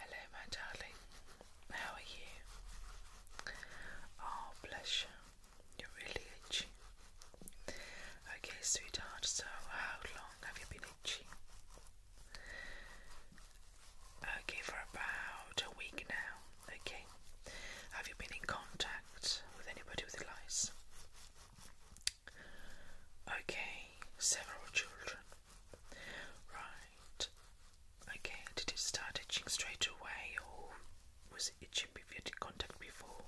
Hello, my darling. How are you? Oh, bless you. You're really itchy. Okay, sweetheart, so how long have you been itching? Okay, for about a week now. Okay. Have you been in contact with anybody with lice? Okay, several children. Right. Okay, did it start itching straight away or was it itching before you contact before?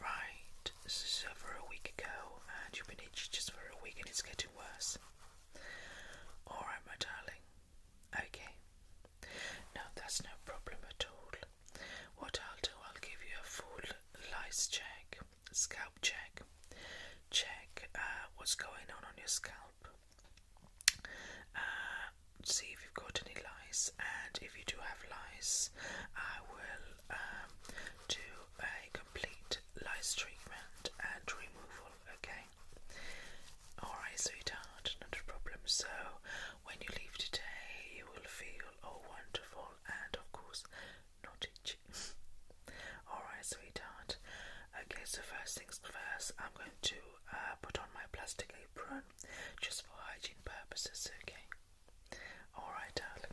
Right, so for a week ago and you've been itching just for a week and it's getting worse. Alright, my darling. Okay. No, that's no problem at all. What I'll do, I'll give you a full lice check, scalp check, check uh, what's going on on your scalp, uh, see if you've got any lice, and if you do have lice, I will um, do a complete lice treatment and removal. Okay. Alright, sweetheart, not a problem. So when you leave today, you will feel oh wonderful and of course not itchy. Alright, sweetheart. Okay, so first things first, I'm going to uh, put on my plastic apron just for hygiene purposes, okay? Alright, darling.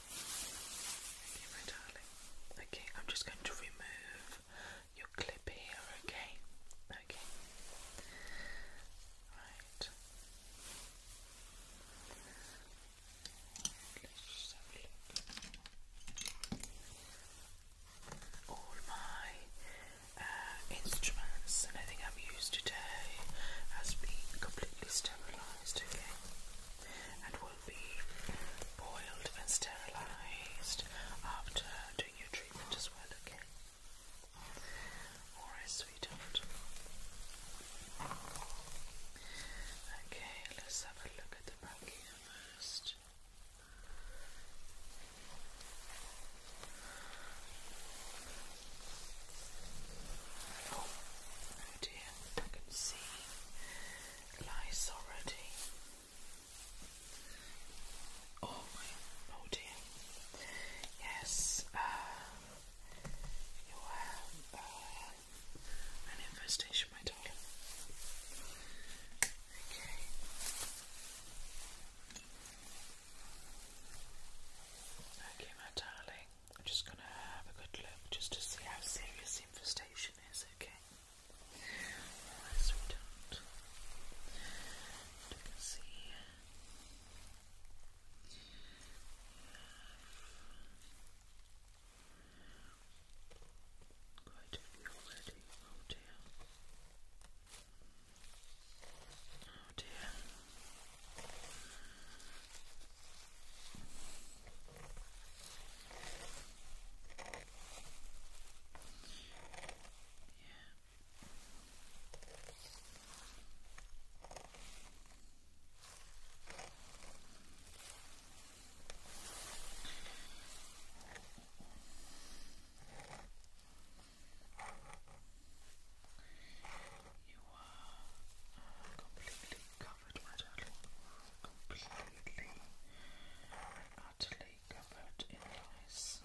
Okay, my darling. Okay, I'm just going to remove your clip here, okay? Okay. Right. Let's just All my uh, instruments and everything I've used today has been completely sterilized, okay? And be boiled and sterilized after doing your treatment as well, okay? Alright, sweetheart. Okay, let's have a look at the back first. Oh, oh dear, I can see lice already oh oh dear yes uh, you have uh, an infestation my darling okay okay my darling I'm just gonna have a good look just to see how serious infestation is okay unless we don't. And we already. Oh dear. Oh dear. You are uh, completely covered, my darling completely utterly covered in lice.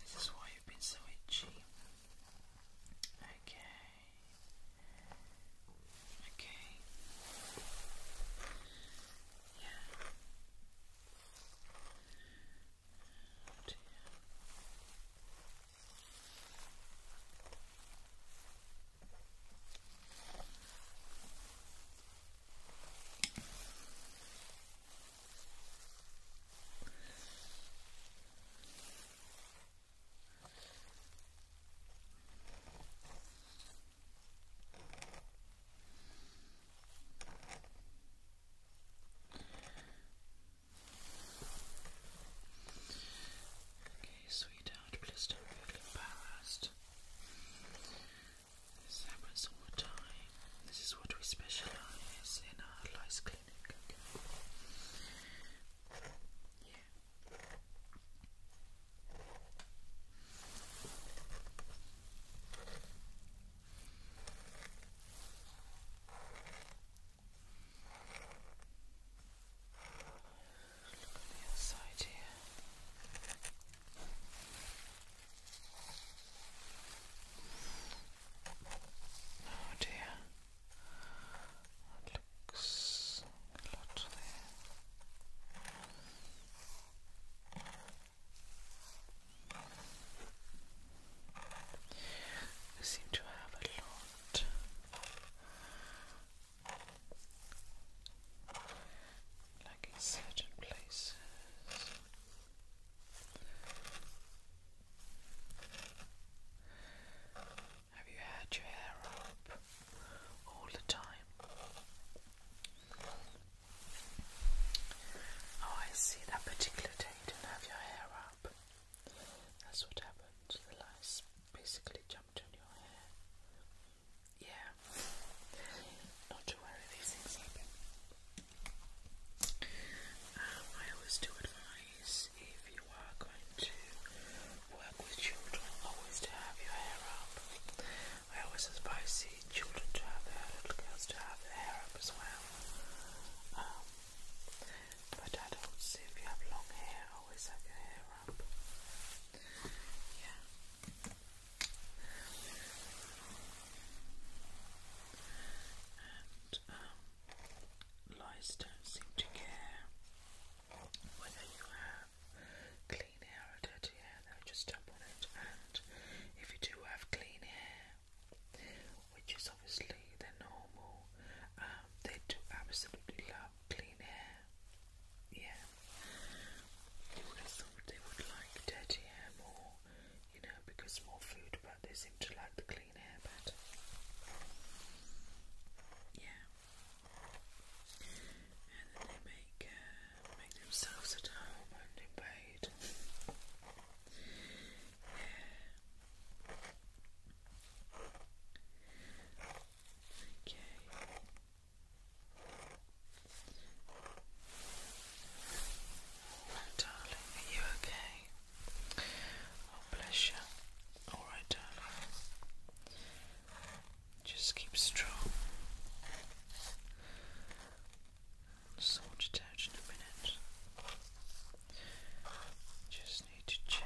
This is why you've been so itchy. Okay. Okay. Yeah. Oh Okay, sweetheart, please don't be embarrassed. Samples all the time. This is what we specialize in our lice clinic. Yeah. Look on the other here. Oh dear, that looks a lot there. I seem to have a lot like in certain places. Have you had your hair up all the time? Oh, I see that particular day you didn't have your hair up. That's what happened. The lice basically jumped on your hair yeah, not to worry, these things happen. Um, I always do advise if you are going to work with children, always to have your hair up. I always advise children to have their little girls to have their hair up as well. Um, but adults, if you have long hair, always have your hair up. Yeah. Um, lice don't seem to care whether you have clean hair or dirty hair, they just jump on it. And if you do have clean hair, which is obviously the normal, um, they do absolutely love clean hair. Yeah, so they would like dirty hair more, you know, because more food, but they seem to like the clean hair better. Yeah. And then they make uh, make themselves at home and in yeah. Okay darling, are you okay? Oh, bless you. All right, darling. Just keep strong. i out in a minute. Just need to check.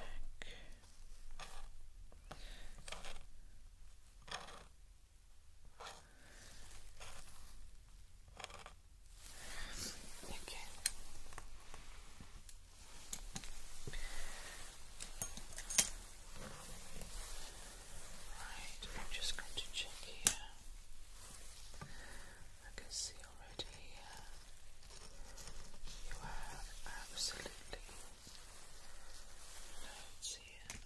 Okay. Right, I'm just going to check here. I can see already here you have absolutely let Chicken.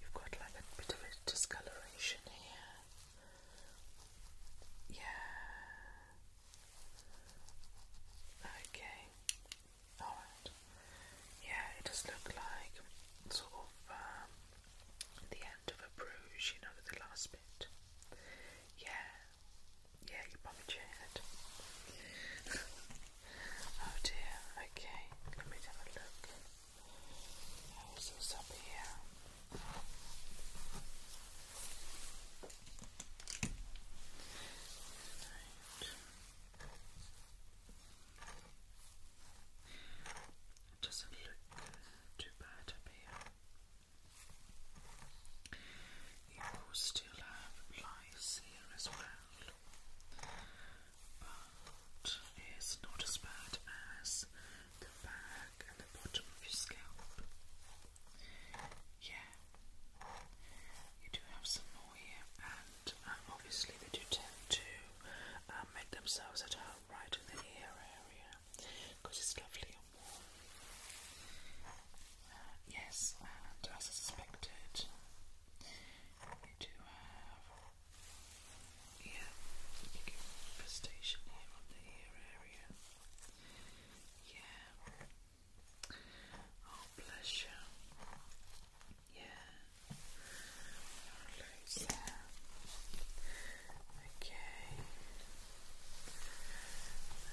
You've got like a bit of a discoloration here. Yeah. Okay. Alright. Yeah, it does look like sort of um, the end of a bruise, you know, the last bit. Yeah. Yeah, you probably cheered. oh dear, okay. Let me have a look. What's up here? It doesn't look too bad up You still have lice here as well, but it's not as bad as the back and the bottom of your scalp. Yeah, you do have some more here, and um, obviously they do tend to um, make themselves at home right in the ear area because it's lovely and warm. Uh, yes, and as I suspected, you do have yeah, infestation here on the ear area. Yeah. Oh, bless you. Yeah. Okay.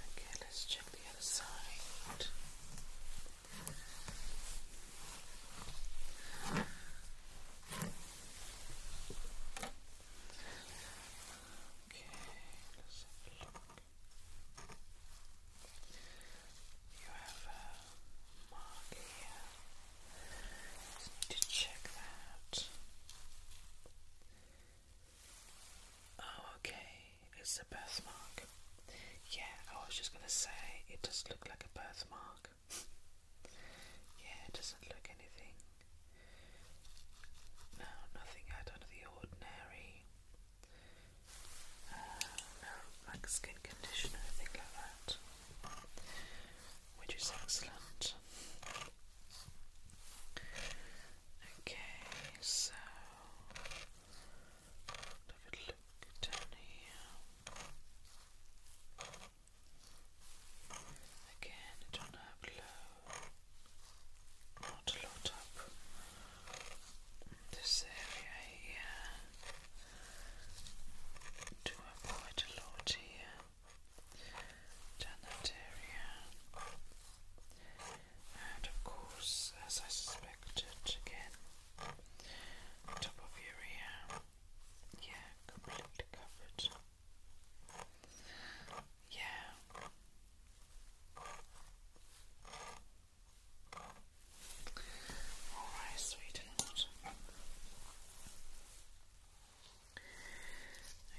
Okay, let's check the other side let's have a look. You have a mark here. need to check that. Oh, okay, it's a birthmark. Yeah, I was just gonna say it does look like a birthmark. yeah, it doesn't look anything no, nothing out of the ordinary. Uh, like skin conditioner, thing like that, which is excellent. Okay, so have a look down here. Again, I don't not a lot up this area here. Do up quite a lot here. Down that area. And of course, as I suspected again, top of your ear. Yeah, completely covered. Yeah. All right, sweet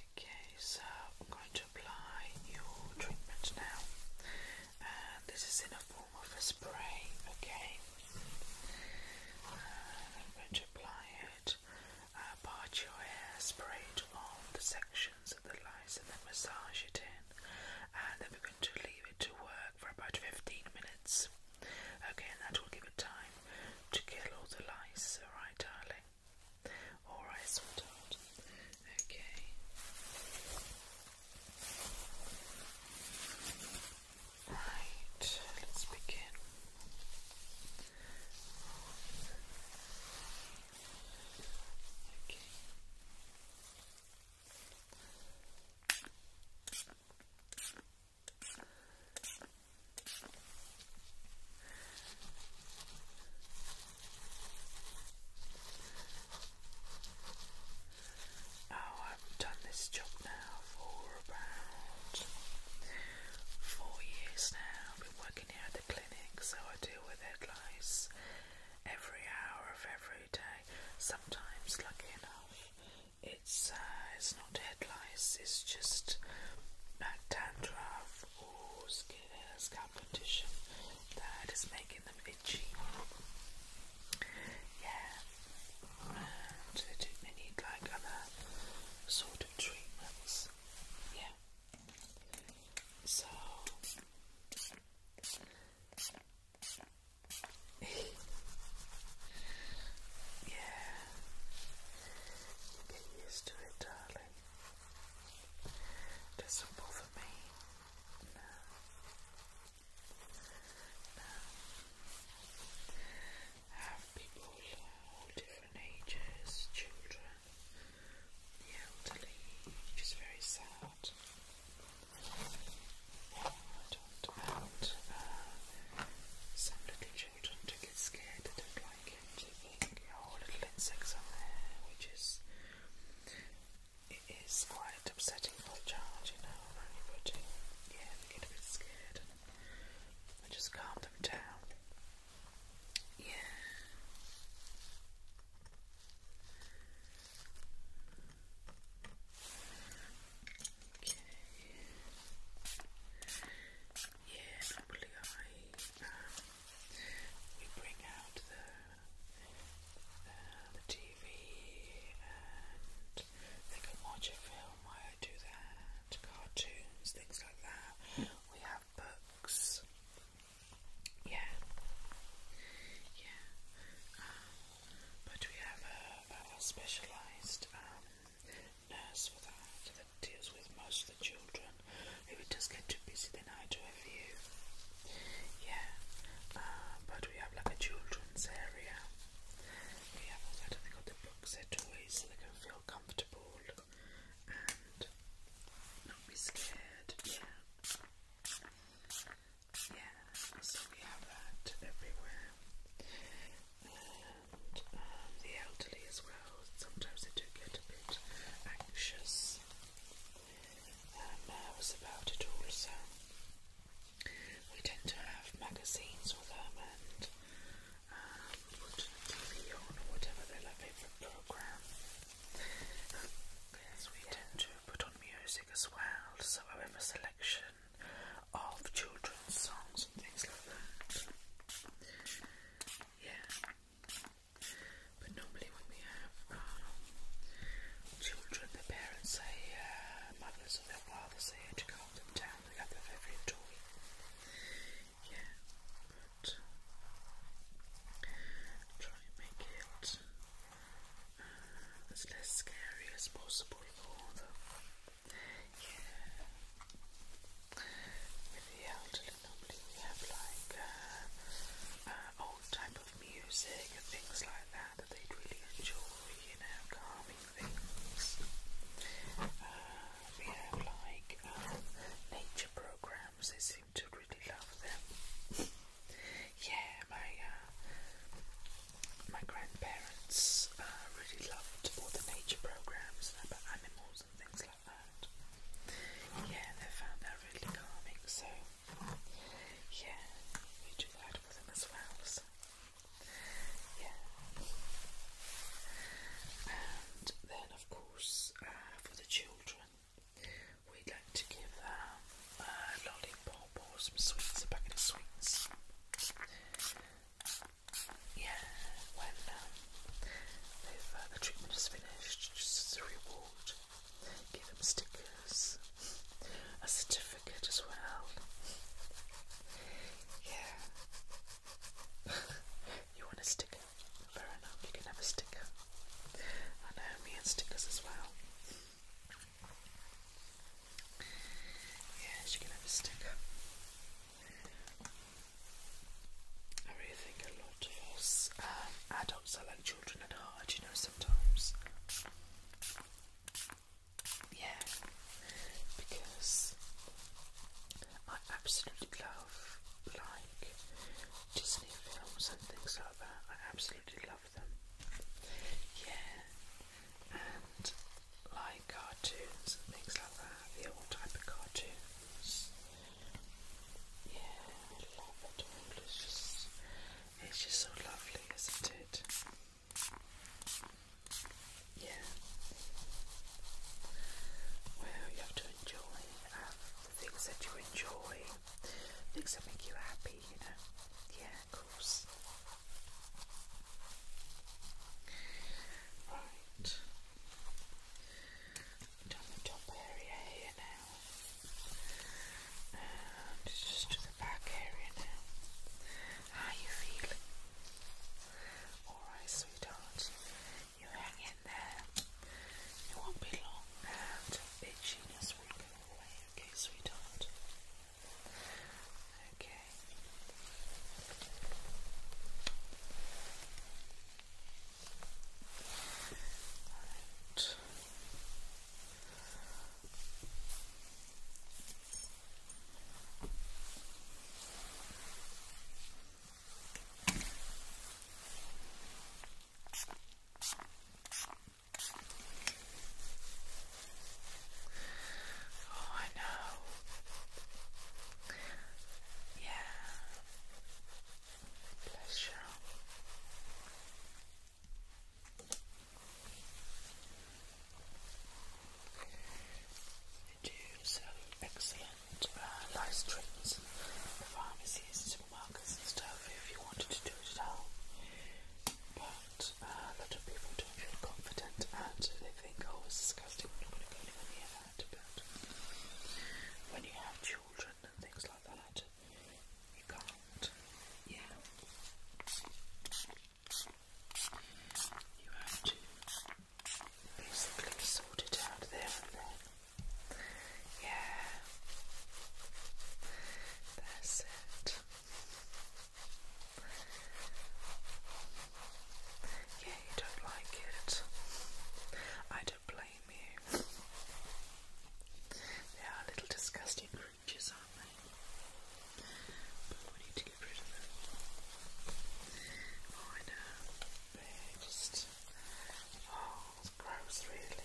Okay, so I'm going to apply your treatment now, and this is in a form of a spray. Okay, and I'm going to apply it uh, part your hair, spray it on the sections of the lice, and then massage it in. And then we're going to leave it to work for about 15 minutes. Okay, and that will give it time to kill all the lice. Alright, darling. Alright, sweetheart. Okay. Right, let's begin. Okay. Oh, I've done this job now for about four years now. I've been working here the clinic, so I deal with head lice every hour of every day. Sometimes, lucky enough, it's uh, it's not head lice, it's just that dandruff or skin uh, scalp condition that is making them itchy. Yeah, do, they need like other sort of treatments. Yeah. So yeah, get used to it, darling. Doesn't bother me. No. No. have people of different ages, children the elderly, which is very sad. I talked about uh, some little children to get scared, they don't like it, they think, oh, little insects are there, which is, it is quite upsetting for a child, you know, really, but yeah, they get a bit scared, I just calm them down. Yeah. Okay. Yeah, normally we bring out the the TV and they can watch a film. I do that, cartoons, things like that. Hmm. We have books. Yeah. Yeah. Um, but we have a, a specialised um, nurse for that that deals with most of the children. If it does get too busy, then I do a few. Yeah. Uh, but we have like a children's area. We have also, I think, got the books set away so they can feel comfortable and not be scared. Yeah. Yeah, so we have that everywhere. And um, the elderly as well, sometimes they do get a bit anxious and nervous uh, about it also. We tend to have magazines with them and put um, TV on or whatever their favourite programme. Yes, we tend to put on music as well, so I have a selection of children's songs and things like that. Yeah. But normally when we have um, children, the parents say, uh, or their fathers say to calm them down, we have them every toy yeah, but try and make it as less scary as possible for them. Yeah. With the elderly, normally we have like old type of music and things like that that they'd really enjoy, you know, calming things. we have like uh, nature programs, they seem to really love them. yeah, my uh, my grandparents uh, really loved all the nature programs about animals and things like that. Yeah, they found that really calming. So yeah, we do that for them as well. So. Yeah. And then, of course, uh, for the children, We'd like to give them a lollipop or some sweets, a packet of sweets. Yeah, when um, uh, the treatment is finished, just as a reward, give them stickers, a certificate as well. Yeah. you want a sticker? Fair enough, you can have a sticker. I know, me and stickers as well. Yeah, she can have a sticker. I really think a lot of us um, adults are like children at heart, you know, sometimes. Yeah, because I absolutely love like Disney films and things like that. I absolutely love them. Yeah, and like cartoons and things like that, the old type of cartoons. Yeah, love it It's just, it's just so lovely, isn't it? Yeah. Well, you have to enjoy and things that you enjoy, things that make you happy, you know. Yeah, of course. Right. Down the top area here now. And just to the back area now. How you feeling? Alright, sweetheart. You hang in there. It won't be long and itchiness will go away, okay, sweetheart? Okay. Alright. Oh, I know. Yeah. Pleasure. They do so excellent uh, live streams some markers and stuff if you wanted to do it at all. But uh, a lot of people don't feel confident and they think, oh, it's disgusting, we're not going to go anywhere near that. But when you have children and things like that, you can't. Yeah. You have to basically sort it out there and then. Yeah. That's it. Yeah, you don't like it. I don't blame you. They are little disgusting creatures, aren't they? But we need to get rid of them. Oh, I know. just. Oh, it's gross, really.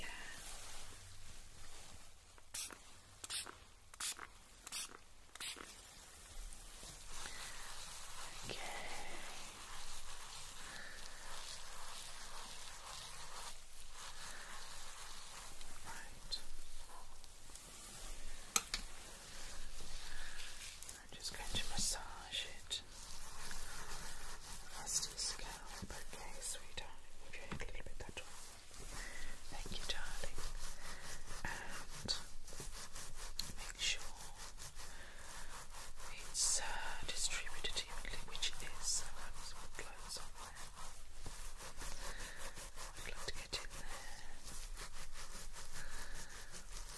Yeah. Okay. Right. I'm just going to massage it. That's scalp. Okay, sweetheart. Move your head a little bit that Thank you, darling. And make sure it's uh, distributed evenly, which it is. So that is what glows on there. I'd love to get in there.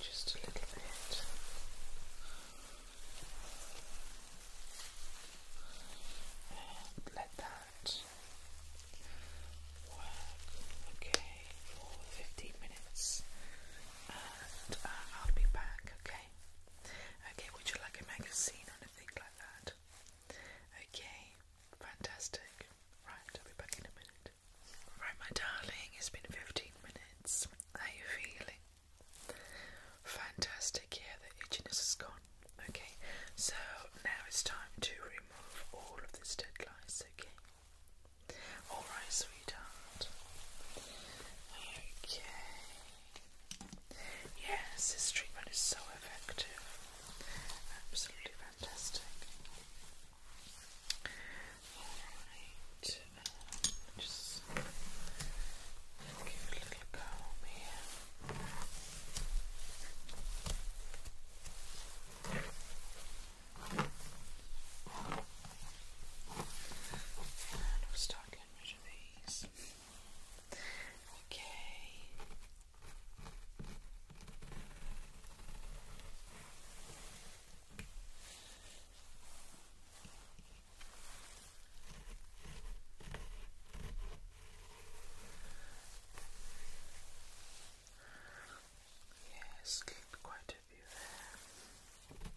just a little bit. And let that work okay for 15 minutes and uh, I'll be back okay okay would you like a magazine or anything like that okay fantastic right I'll be back in a minute Right, my darling, it's been 15 minutes. How are you feeling? Fantastic, yeah, the itchiness has gone. Okay, so now it's time to remove all of this dead lice, okay? Alright, sweetheart. Okay. Yes, this treatment is so effective. Absolutely fantastic. Alright, um, just give a little comb here. And start getting rid of these. Okay. Yes, yeah, quite a few there.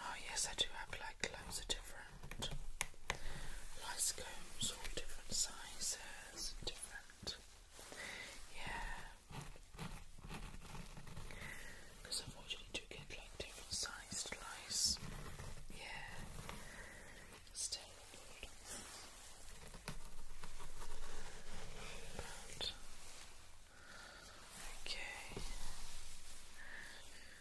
Oh yes, I do have like loads of different light combs, all different sizes, different. Yeah, because unfortunately, do get like different sized lice. Yeah, okay.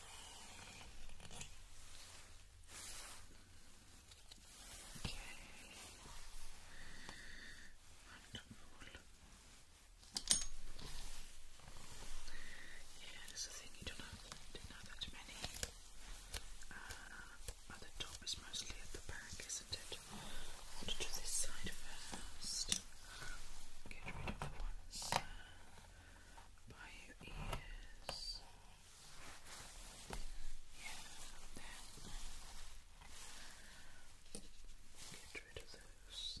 Okay. Yeah, that's the thing, you don't have, that many. Uh, at the top is mostly at the back, isn't it? to this side first. Get rid of the ones. Uh, by your ears. Yeah, get rid of those.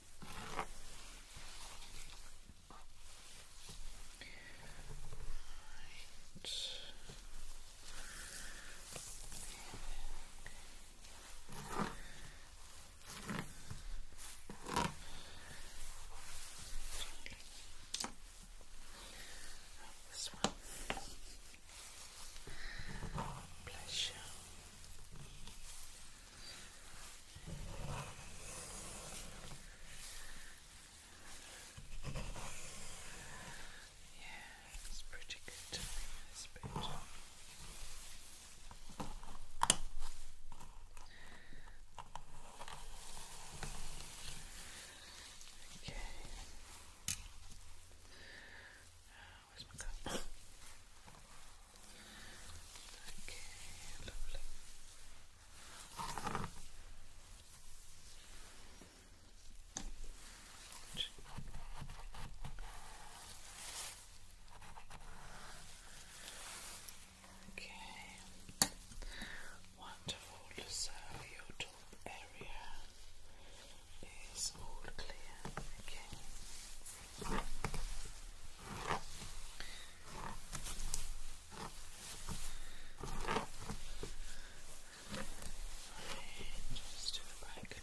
This one. Bless you. Yeah, it's pretty good Okay. Where's Okay, lovely. Okay. Wonderful. So your top area is all clear. Okay. And just do it back now. Okay.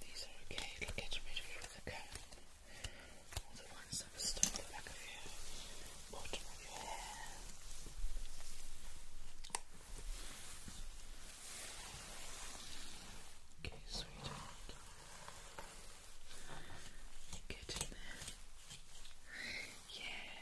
these are okay, it'll get rid of you All the ones that are stuck at the back of your bottom of your hair. Okay, sweetheart. Get in there. Yeah,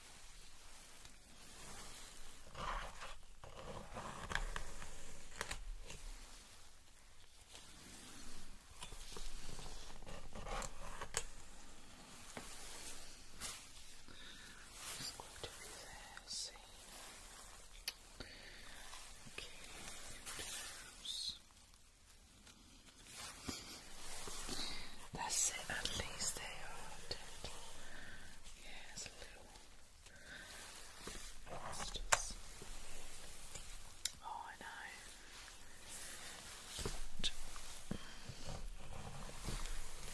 Just going to reverse it. Okay, and that's it, at least they are gentle. Yes, yeah, little. Just... Oh, I know.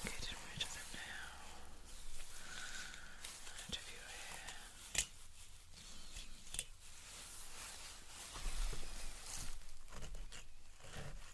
Getting rid of them now. Out of your hair.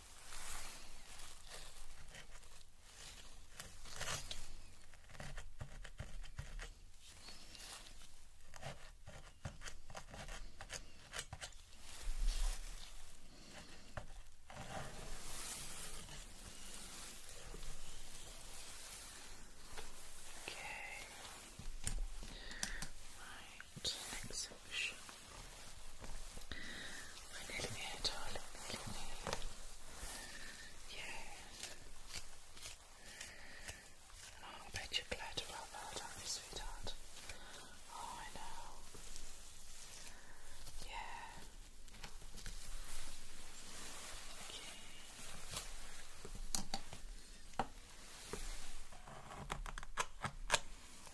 Okay. My to the next darling, Yeah. And I bet you're glad about that, sweetheart? Oh, I know. Yeah. Okay.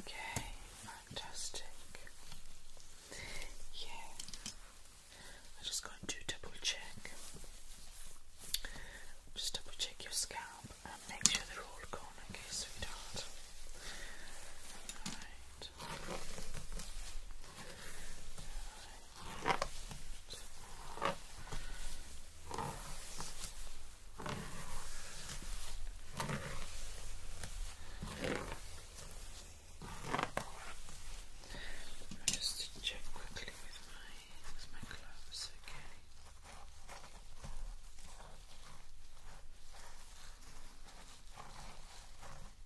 Okay, fantastic. Yeah, I'm just going to double check. Just double check your scalp and make sure they're all gone, okay, sweetheart. Alright. I'll just check quickly with my with my gloves, okay. Okay.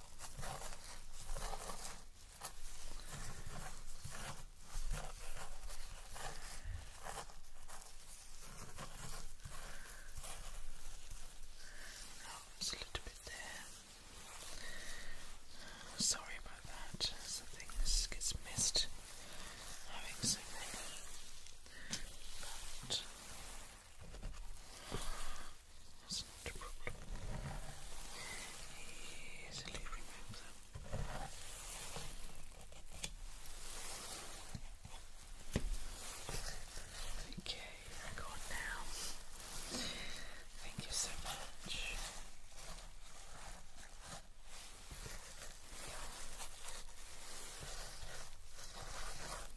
Oh, it's a little bit there. Sorry about that. Something gets missed having so many. Uh, that's not a problem. Easily remove them. Okay, record now. Thank you so much.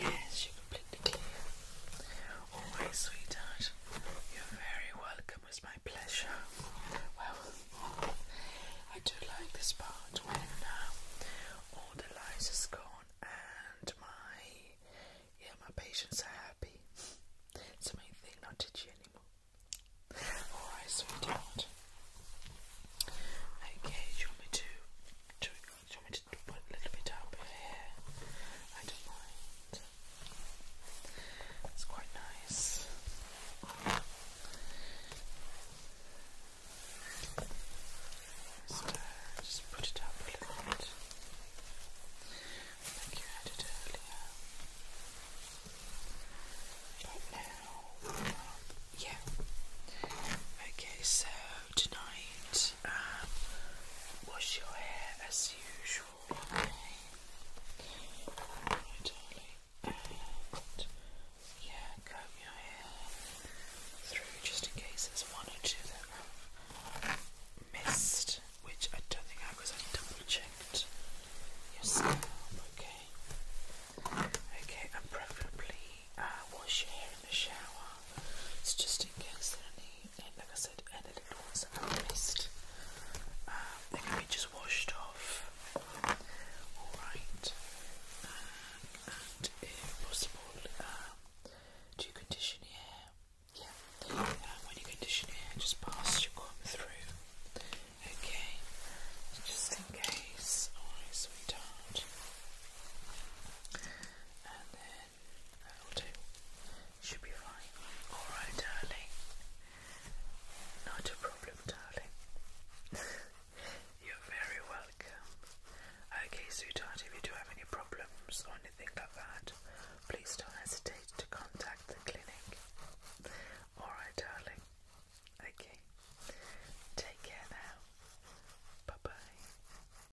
Yes, you're completely clear. Always, sweetheart. You're very welcome. It's my pleasure. Well, I do like this part when uh, all the lights are gone and my yeah my patients are happy. It's the main thing, not you anymore. Alright, sweetheart. Okay, you want me to to put a little bit up here. I don't mind. It's quite nice. Just, put it up a little bit. Like you had it earlier. But now, yeah. Okay, so tonight. Um, wash your hair as usual, yeah, comb your hair through just in case there's one or two that i missed, which I don't think I was. I double checked your scalp, okay? Okay, and preferably uh, wash your hair in the shower. It's just in case there are any and like I said, any little ones that i missed, um, they can be just washed off. Alright, and if possible, um, do condition hair? Yeah, um, when you condition hair, just pass your comb through. Okay, just in case. Alright, sweetheart. And then That'll do. Should be fine. Alright, darling. Not a problem, darling. You're very welcome. Okay, sweetheart, if you do have any problems or anything like that, please don't hesitate to contact the clinic. Alright, darling. Okay. Take care now. Bye bye.